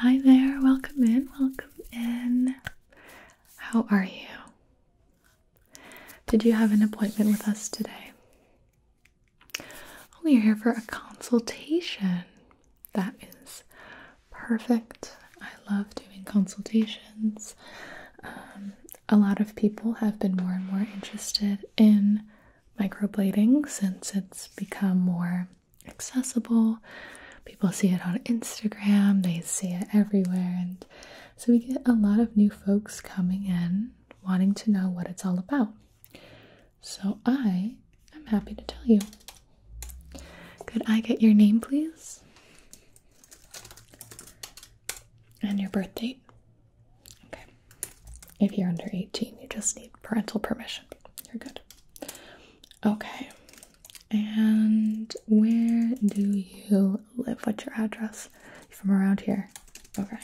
Hi there, welcome in, welcome in. How are you? Did you have an appointment with us today? Oh, you're here for a consultation. That is perfect. I love doing consultations. Um, a lot of people have been more and more interested in microblading since it's become more accessible. People see it on Instagram, they see it everywhere. And so we get a lot of new folks coming in wanting to know what it's all about. So I am happy to tell you. Could I get your name, please? And your birth date? Okay. If you're under 18, you just need parental permission. You're good. Okay. And where do you live? What's your address? you from around here. Okay.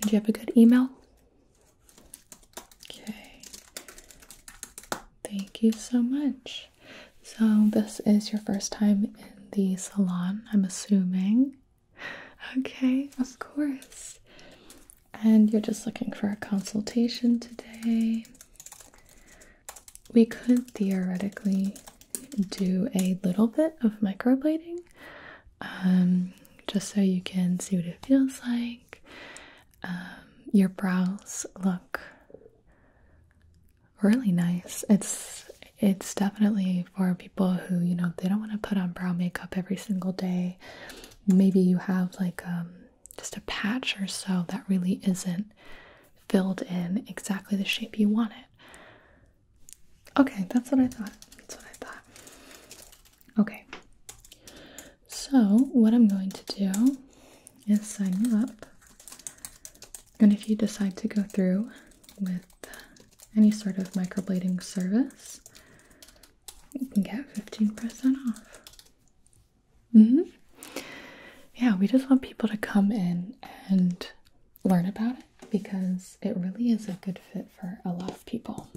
do you have a good email? Okay. Thank you so much. So, this is your first time in the salon, I'm assuming. Okay, of course. And you're just looking for a consultation today. We could theoretically do a little bit of microblading um, just so you can see what it feels like. Um, your brows look really nice. It's it's definitely for people who you know they don't want to put on brow makeup every single day. Maybe you have like um, just a patch or so that really isn't filled in exactly the shape you want it. Okay, that's what I thought. That's what I thought. Okay, so what I'm going to do is sign you up, and if you decide to go through with any sort of microblading service, you can get 15% off. Mm-hmm. Yeah, we just want people to come in and learn about it because it really is a good fit for a lot of people.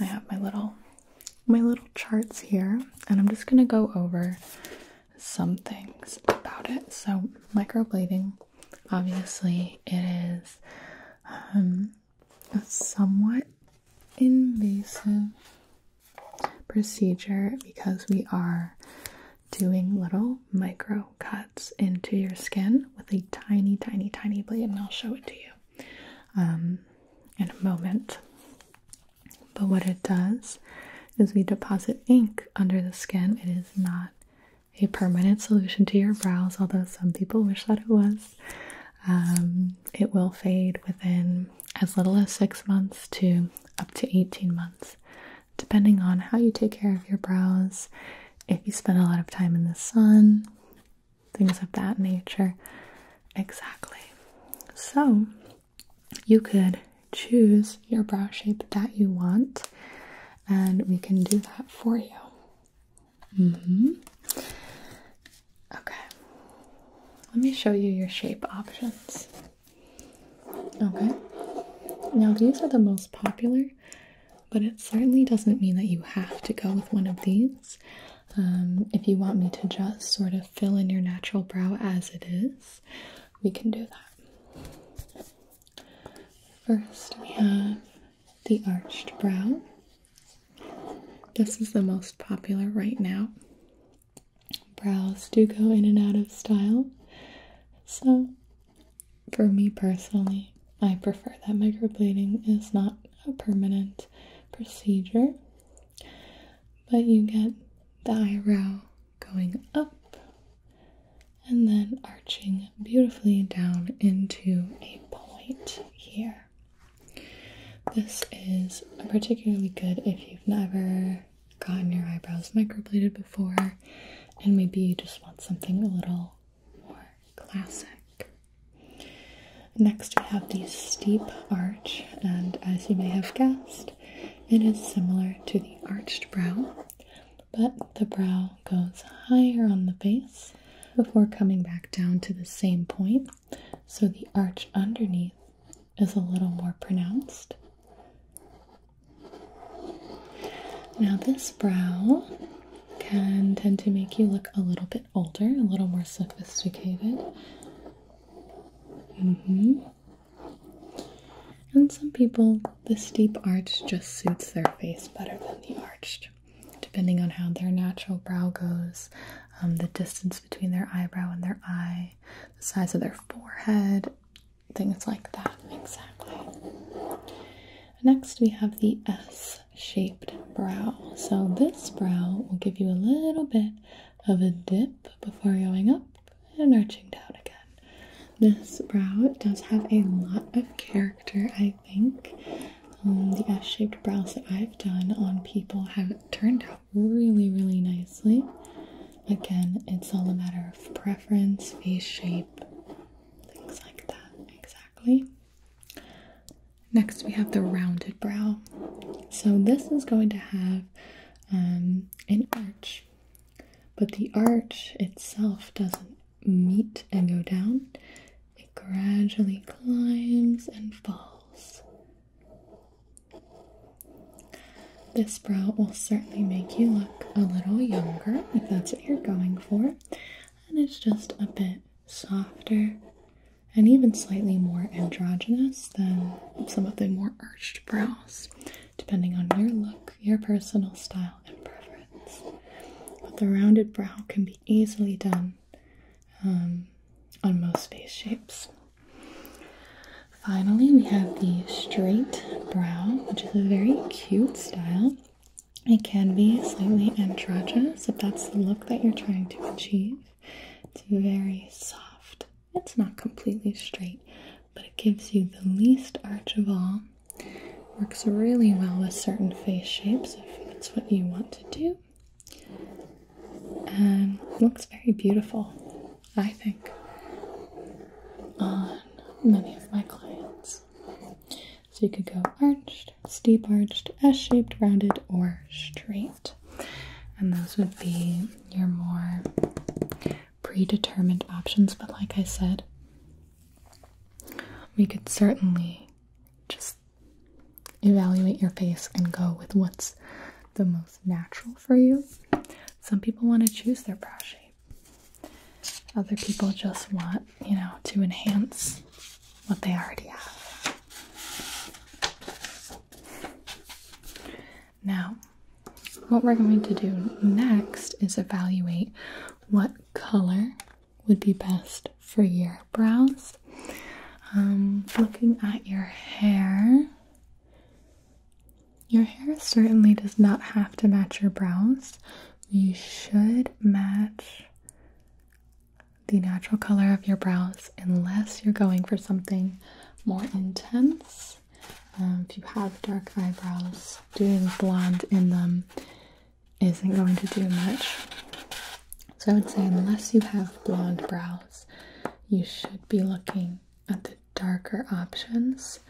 I have my little my little charts here and I'm just gonna go over some things about it. So microblading obviously it is um, a somewhat invasive procedure because we are doing little micro cuts into your skin with a tiny tiny tiny blade and I'll show it to you um, in a moment but what it does is we deposit ink under the skin it is not a permanent solution to your brows, although some people wish that it was. Um, it will fade within as little as six months to up to 18 months, depending on how you take care of your brows, if you spend a lot of time in the sun, things of that nature. Exactly. So you could choose your brow shape that you want, and we can do that for you. Mm-hmm. Okay. Let me show you your shape options. Okay. Now these are the most popular, but it certainly doesn't mean that you have to go with one of these. Um, if you want me to just sort of fill in your natural brow as it is, we can do that. First, we have the arched brow. This is the most popular right now. Brows do go in and out of style, so for me personally, I prefer that microblading is not a permanent procedure, but you get the eyebrow going up and then arching beautifully down into a point here. This is particularly good if you've never gotten your eyebrows microbladed before, and maybe you just want something a little more classic. Next, we have the steep arch, and as you may have guessed, it is similar to the arched brow, but the brow goes higher on the face before coming back down to the same point, so the arch underneath is a little more pronounced. Now, this brow can tend to make you look a little bit older, a little more sophisticated. Mm-hmm. And some people, this deep arch just suits their face better than the arched Depending on how their natural brow goes, um, the distance between their eyebrow and their eye, the size of their forehead, things like that. Exactly. Next, we have the S shaped brow. So, this brow will give you a little bit of a dip before going up and arching down again. This brow does have a lot of character, I think. Um, the S-shaped brows that I've done on people have turned out really, really nicely. Again, it's all a matter of preference, face shape, things like that, exactly. Next, we have the rounded brow. So this is going to have um, an arch, but the arch itself doesn't meet and go down, it gradually climbs and falls. This brow will certainly make you look a little younger if that's what you're going for, and it's just a bit softer and even slightly more androgynous than some of the more arched brows, depending on your look, your personal style, and preference. But the rounded brow can be easily done um, on most face shapes. Finally, we have the straight brow, which is a very cute style. It can be slightly androgynous if that's the look that you're trying to achieve. It's very soft. It's not completely straight, but it gives you the least arch of all Works really well with certain face shapes if that's what you want to do. and looks very beautiful, I think, on many of my clients. So you could go arched, steep arched, S-shaped, rounded, or straight. And those would be your more predetermined options. But like I said, we could certainly just evaluate your face and go with what's the most natural for you. Some people want to choose their brow shape, other people just want, you know, to enhance what they already have. Now, what we're going to do next is evaluate what color would be best for your brows. Um, looking at your hair, your hair certainly does not have to match your brows. You should match the natural color of your brows unless you're going for something more intense. Um, if you have dark eyebrows, doing blonde in them isn't going to do much. So I would say, unless you have blonde brows, you should be looking at the darker options.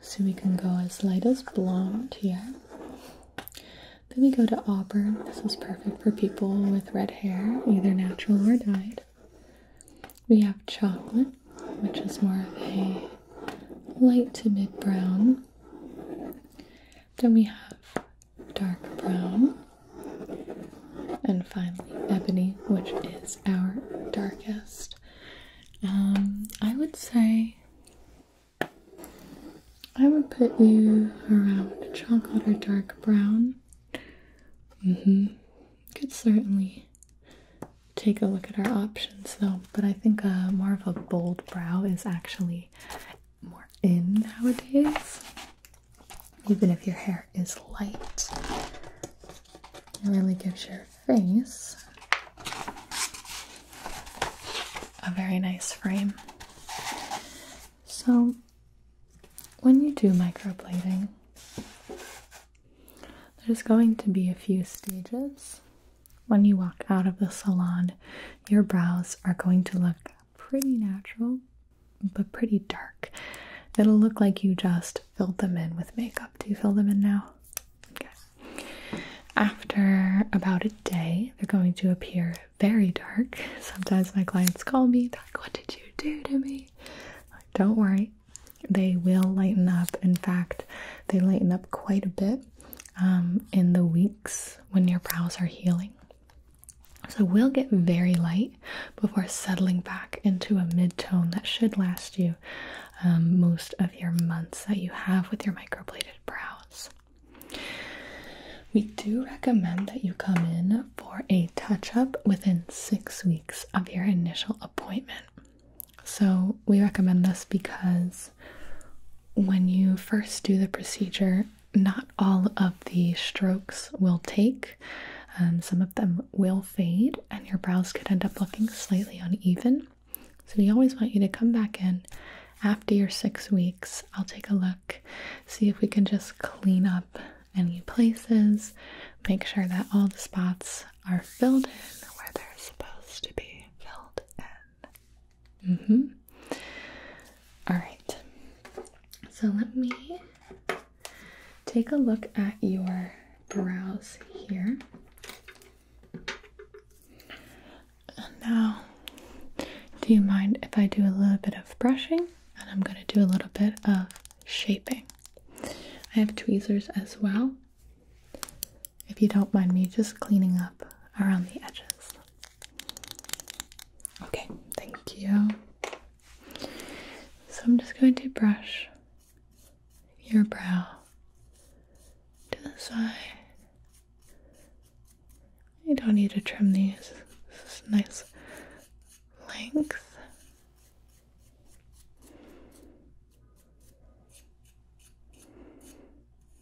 So we can go as light as blonde here. Then we go to auburn. This is perfect for people with red hair, either natural or dyed. We have chocolate, which is more of a light to mid brown. Then we have dark brown. And finally, ebony, which is our darkest. Um, I would say I would put you around chocolate or dark brown. Mm-hmm. Could certainly take a look at our options though, but I think uh, more of a bold brow is actually more in nowadays. Even if your hair is light, it really gives your face a very nice frame. So, when you do microblading, there's going to be a few stages. When you walk out of the salon, your brows are going to look pretty natural, but pretty dark. It'll look like you just filled them in with makeup. Do you fill them in now? After about a day, they're going to appear very dark. Sometimes my clients call me, they like, What did you do to me? Don't worry, they will lighten up. In fact, they lighten up quite a bit um, in the weeks when your brows are healing. So we'll get very light before settling back into a mid tone that should last you um, most of your months that you have with your microbladed brows. We do recommend that you come in for a touch up within six weeks of your initial appointment. So we recommend this because when you first do the procedure, not all of the strokes will take. Um, some of them will fade, and your brows could end up looking slightly uneven. So, we always want you to come back in after your six weeks. I'll take a look, see if we can just clean up any places, make sure that all the spots are filled in where they're supposed to be filled in. Mm-hmm. All right. So let me take a look at your brows here. now, do you mind if I do a little bit of brushing? And I'm going to do a little bit of shaping. I have tweezers as well if you don't mind me just cleaning up around the edges. Okay, thank you. So I'm just going to brush your brow to the side. You don't need to trim these. This is nice length.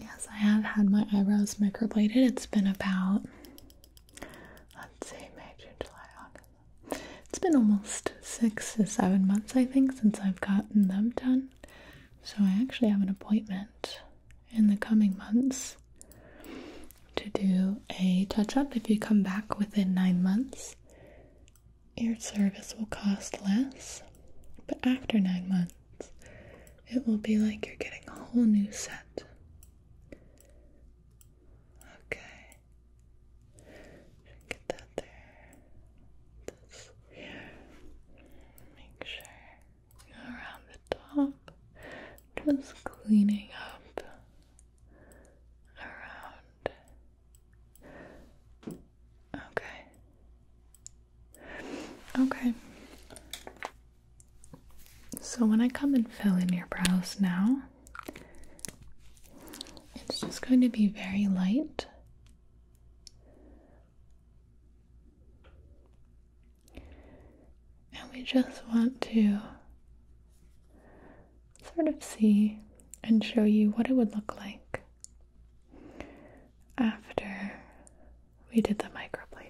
yes, I have had my eyebrows microbladed. It's been about let's see, May, June, July, August. It's been almost six to seven months, I think, since I've gotten them done. So I actually have an appointment in the coming months to do a touch-up. If you come back within nine months, your service will cost less. But after nine months. It will be like you're getting a whole new set. Okay. Get that there. This Make sure around the top. Just cleaning up around. Okay. Okay. So when I come and fill in your brows now, it's just going to be very light. And we just want to sort of see and show you what it would look like after we did the microblading,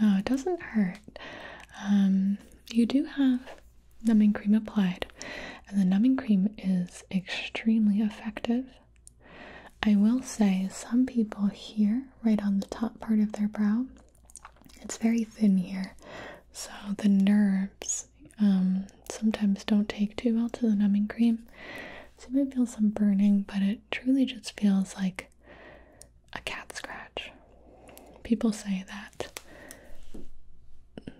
No, it doesn't hurt. Um, you do have numbing cream applied, and the numbing cream is extremely effective. I will say, some people here, right on the top part of their brow, it's very thin here, so the nerves um, sometimes don't take too well to the numbing cream. So you might feel some burning, but it truly just feels like a cat scratch. People say that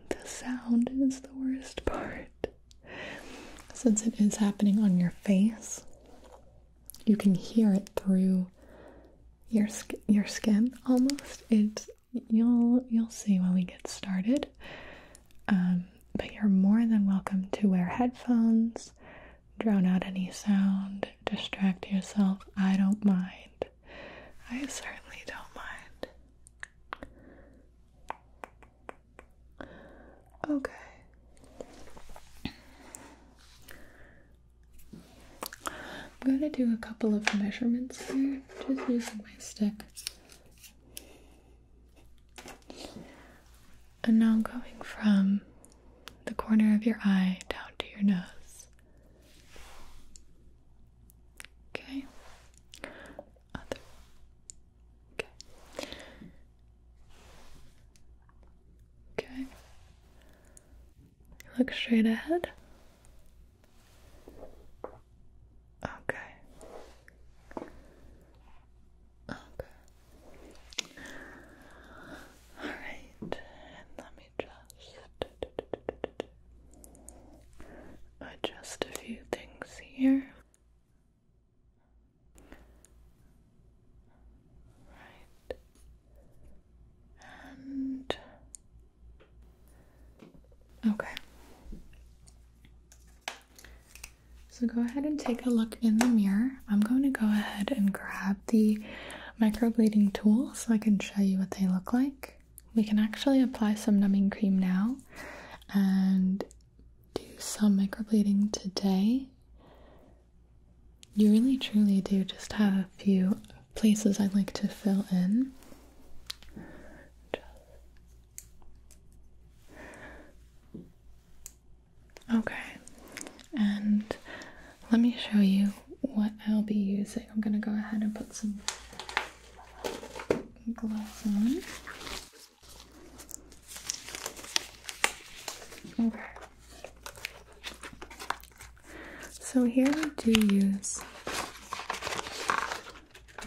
the sound is the worst part. Since it is happening on your face, you can hear it through your your skin almost. It's you'll you'll see when we get started. Um, but you're more than welcome to wear headphones, drown out any sound, distract yourself. I don't mind. I certainly don't mind. Okay. I'm going to do a couple of measurements here, just using my stick. And now going from the corner of your eye down to your nose. Okay. Other. Okay. Okay. Look straight ahead. Okay. Okay. Alright, and let me just adjust a few things here. Right. And okay. So go ahead and take a look in the mirror. I'm going to go ahead and grab the microbleeding tool so I can show you what they look like. We can actually apply some numbing cream now and do some microbleeding today. You really truly do just have a few places I'd like to fill in. Okay, and let me show you what I'll be using. I'm gonna go ahead and put some gloves on. Okay. So here we do use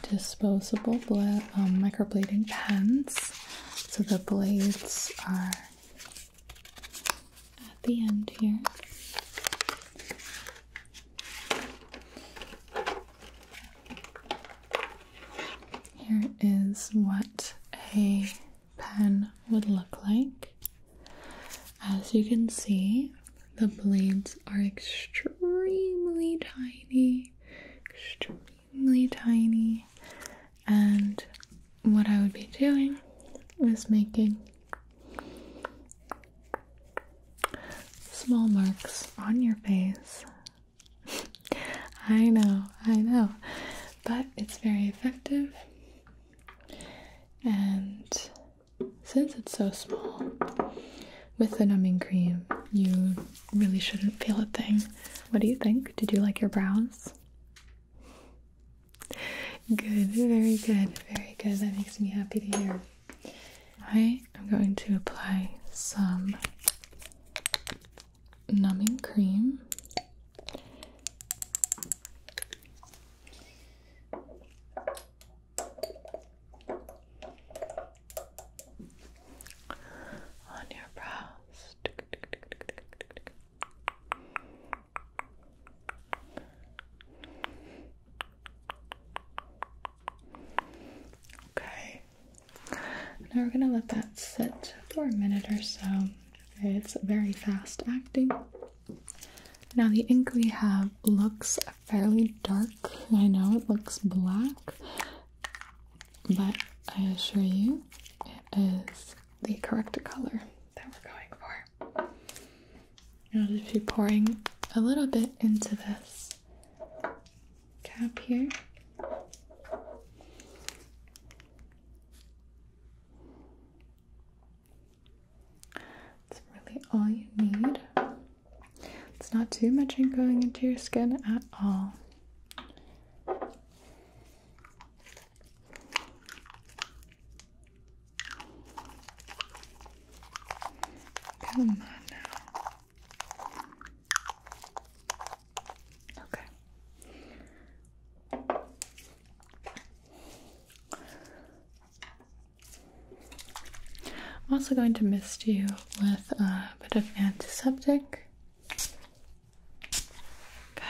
disposable um, microblading pens. So the blades are at the end here. Here is what a pen would look like. As you can see, the blades are extremely tiny, extremely extremely tiny and what I would be doing is making small marks on your face. I know, I know, but it's very effective and since it's so small, with the numbing cream, you really shouldn't feel a thing. What do you think? Did you like your brows? Good, very good, very good. That makes me happy to hear. I am going to apply some numbing cream on your brows. Okay. Now we're gonna let that sit for a minute or so. It's very fast acting. Now the ink we have looks fairly dark. I know it looks black but I assure you it is the correct color that we're going for. I'll just be pouring a little bit into this cap here. That's really all you need. It's not too much ink going into your skin at all. Come on now. Okay. I'm also going to mist you with a bit of antiseptic Okay.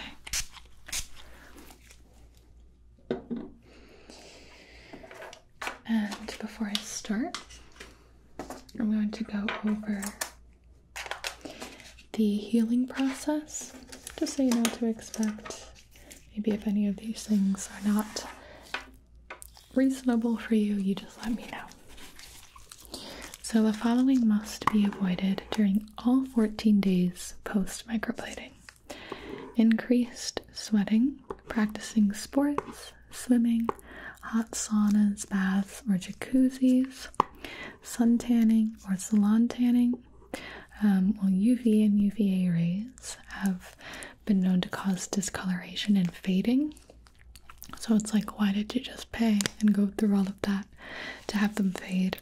And before I start, I'm going to go over the healing process just so you know what to expect. Maybe if any of these things are not reasonable for you, you just let me know. So the following must be avoided during all 14 days post microblading. Increased sweating, practicing sports, swimming, hot saunas, baths, or jacuzzis, sun tanning or salon tanning. Um, well, UV and UVA rays have been known to cause discoloration and fading so it's like, why did you just pay and go through all of that to have them fade?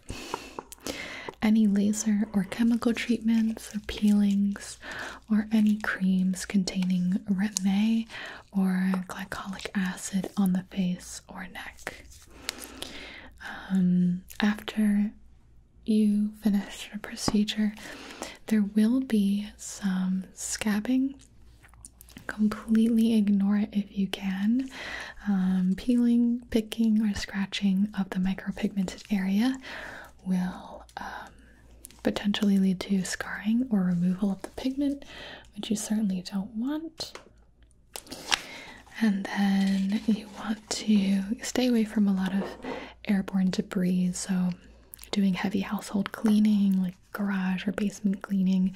Any laser or chemical treatments or peelings or any creams containing retin-A or glycolic acid on the face or neck. Um, after you finish your procedure, there will be some scabbing completely ignore it if you can. Um, peeling, picking, or scratching of the micropigmented area will um, potentially lead to scarring or removal of the pigment, which you certainly don't want. And then you want to stay away from a lot of airborne debris, so doing heavy household cleaning, like garage or basement cleaning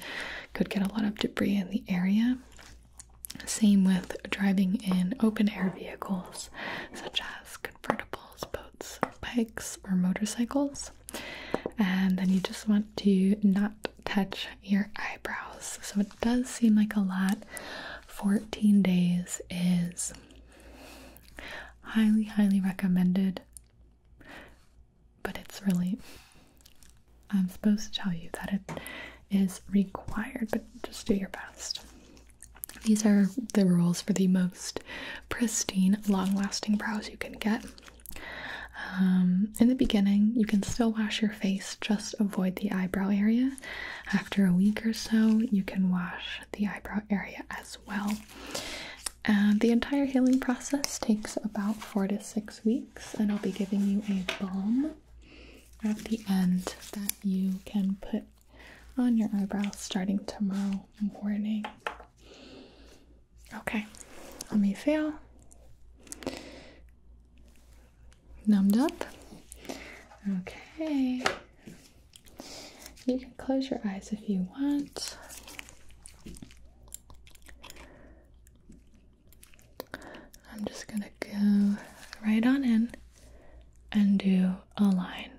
could get a lot of debris in the area. Same with driving in open air vehicles such as convertibles, boats, bikes, or motorcycles. And then you just want to not touch your eyebrows. So it does seem like a lot. 14 days is highly, highly recommended. But it's really, I'm supposed to tell you that it is required, but just do your best. These are the rules for the most pristine, long lasting brows you can get. Um, in the beginning, you can still wash your face, just avoid the eyebrow area. After a week or so, you can wash the eyebrow area as well. And the entire healing process takes about four to six weeks, and I'll be giving you a balm at the end that you can put on your eyebrows starting tomorrow morning. Okay, let me feel numbed up. Okay, you can close your eyes if you want. I'm just gonna go right on in and do a line.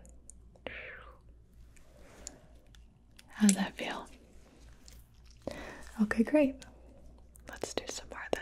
How's that feel? Okay, great. Let's do some more then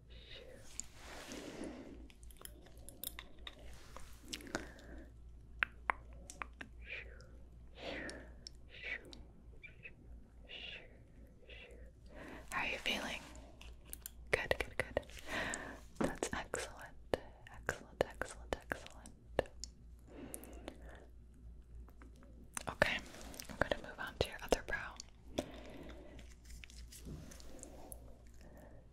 How are you feeling? Good, good, good. That's excellent. Excellent, excellent, excellent. Okay, I'm going to move on to your other brow.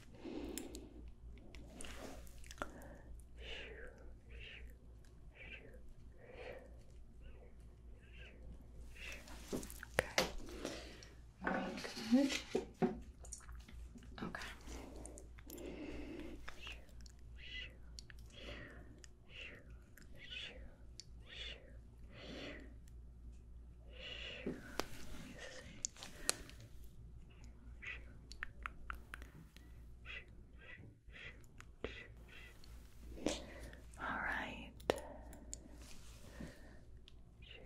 Okay. Very good. Okay. All right. Shoo,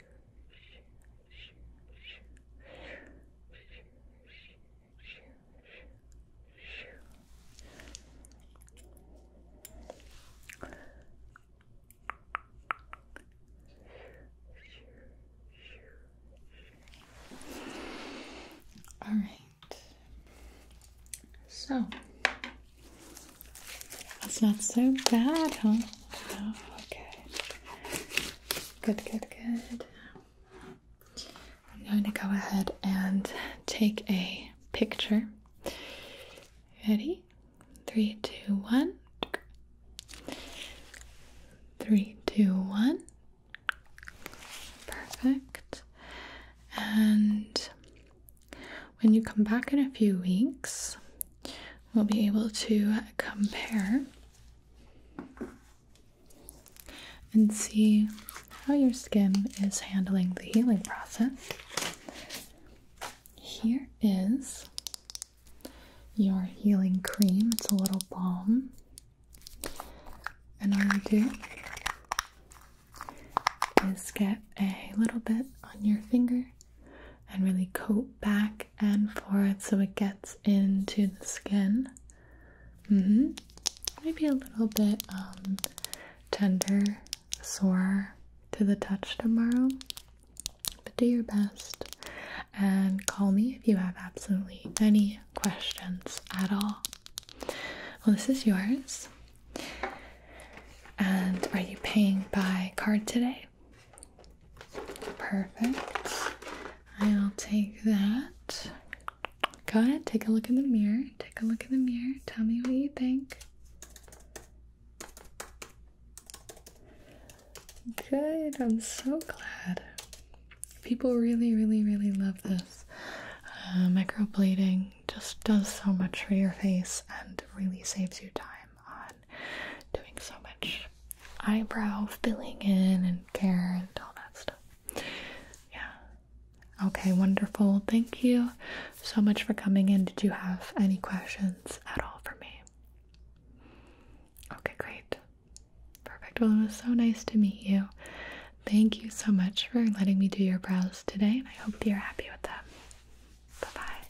all right. So that's not so bad, huh? okay. Good, good, good. I'm going to go ahead and take a picture. Ready? Three, two, one. Three, two, one. Perfect. And when you come back in a few weeks, we'll be able to compare and see how your skin is handling the healing process. Here is your healing cream. It's a little balm. And all you do is get a little bit on your finger and really coat back and forth so it gets into the skin. Mm-hmm. Maybe a little bit um, tender, sore to the touch tomorrow, but do your best and call me if you have absolutely any questions at all. Well, this is yours. And are you paying by card today? Perfect. I'll take that. Go ahead, take a look in the mirror. Take a look in the mirror. Tell me what you think. Good, I'm so glad. People really, really, really love this. Uh, microblading just does so much for your face and really saves you time on doing so much eyebrow filling in and care and all that stuff. Yeah. Okay, wonderful. Thank you so much for coming in. Did you have any questions at all for me? Okay, great. Perfect. Well, it was so nice to meet you. Thank you so much for letting me do your brows today, and I hope you're happy with them. Bye bye.